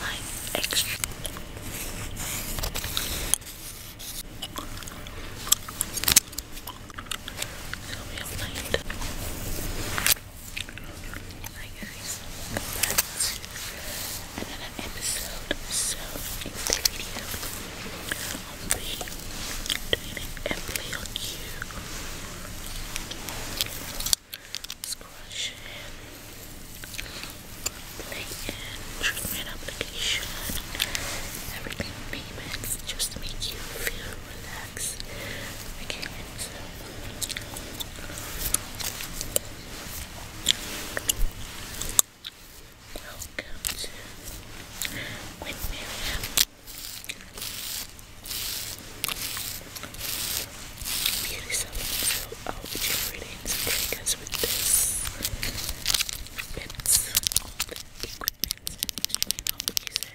like extra so we have light hi guys another episode so in the video I'll be doing an airplay on you scratch play treatment application everything name just to make you feel relaxed welcome to with beauty salon. So I'll be generating some triggers with this. It's all the equipment I'll be using.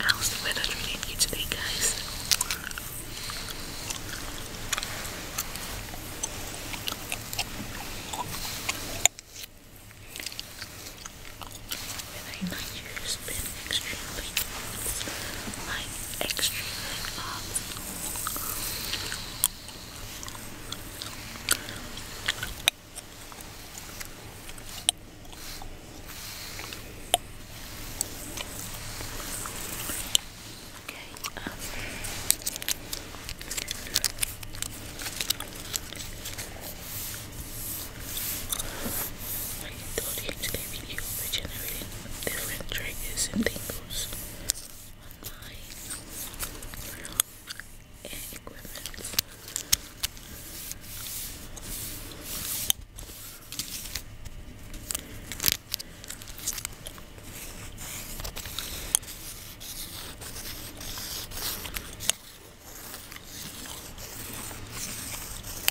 How's the weather treating you today, guys? Weather in Nigeria has been extremely hot. Like, extremely hot. Okay, um, I told you birthday video generating different triggers and tingles on my equipment. I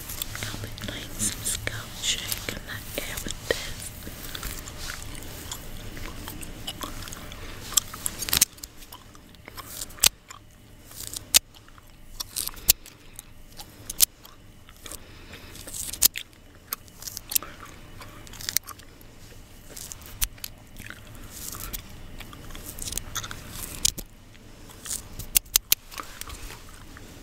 I'll be playing some scalp shake in that air with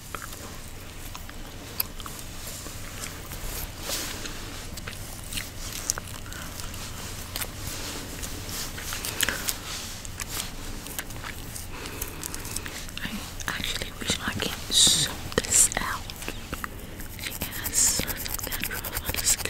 I actually wish I could zoom this out. She has certain dandruff on the scalp.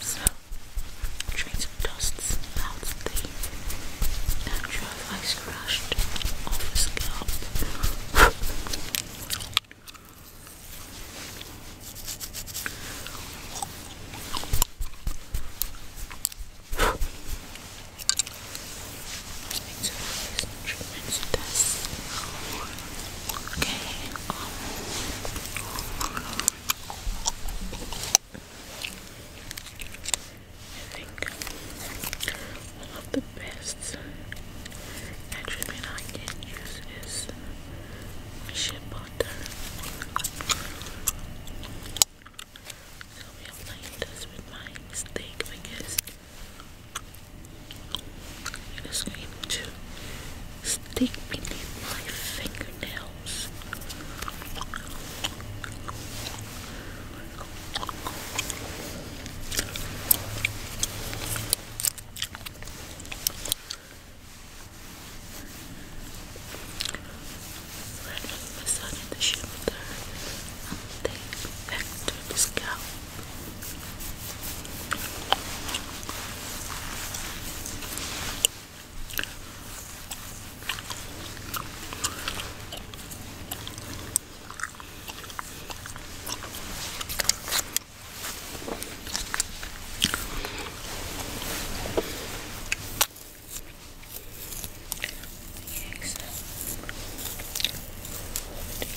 so, trying to dust out the natural I scratched off his scalp. Let's Okay, I um, think one of the best attribute I can use is shea butter. So I'm playing this with my steak because it is going to stick beneath my fingernails the sun in the shoulder and take back to scalp. Yes. Do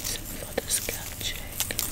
some for the scalp check. Okay.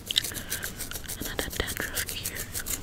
Another dandruff here.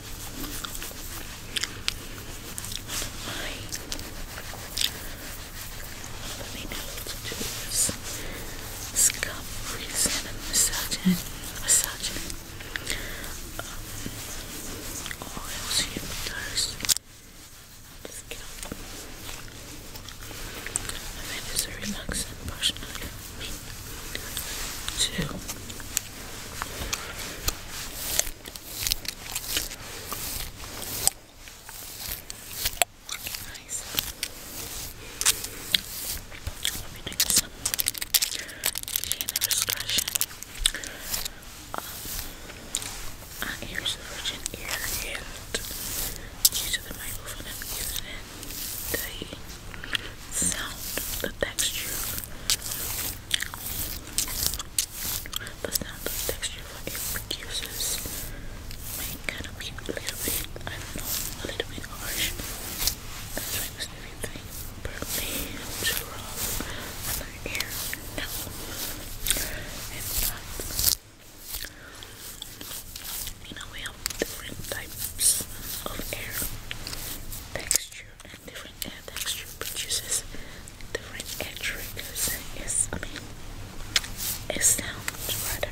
my let me know what to do with this scalp reason and you I think it's a relaxing personally for me too Nice. We'll some chin expression. Um, uh, here's the virgin ear and the microphone i the sound, the texture the sound texture what it produces may kind of be a little bit, I don't know, a little bit harsh. That's why everything perfectly to rub No, it's not. You know, we have different types of air texture and different air produces different air Yes, I mean, it sounds rather.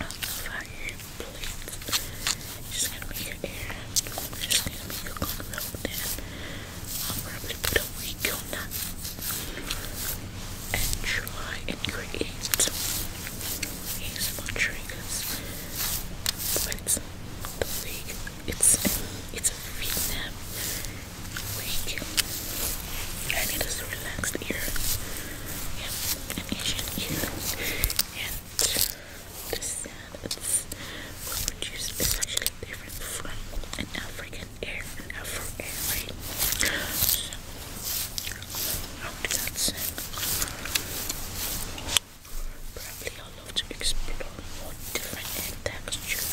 I'll fire your plate. Just gonna make your air. Just gonna make your control down. I'll probably put a week on that and try and create. ASMR triggers. But the wig, it's it's a Vietnam wig, and it is relaxed ear, yeah, an Asian ear, and the sound it's produced is different from an African ear, an Afro ear, right? How did that sound? Probably I'll love to explore more different textures.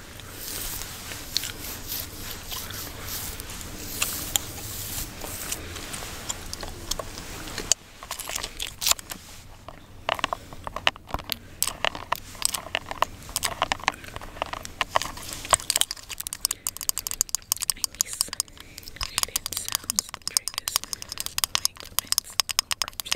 sounds, triggers, like comments, or objects.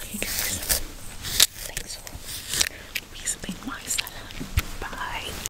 Hey guys, thanks for reasoning my salad. Bye.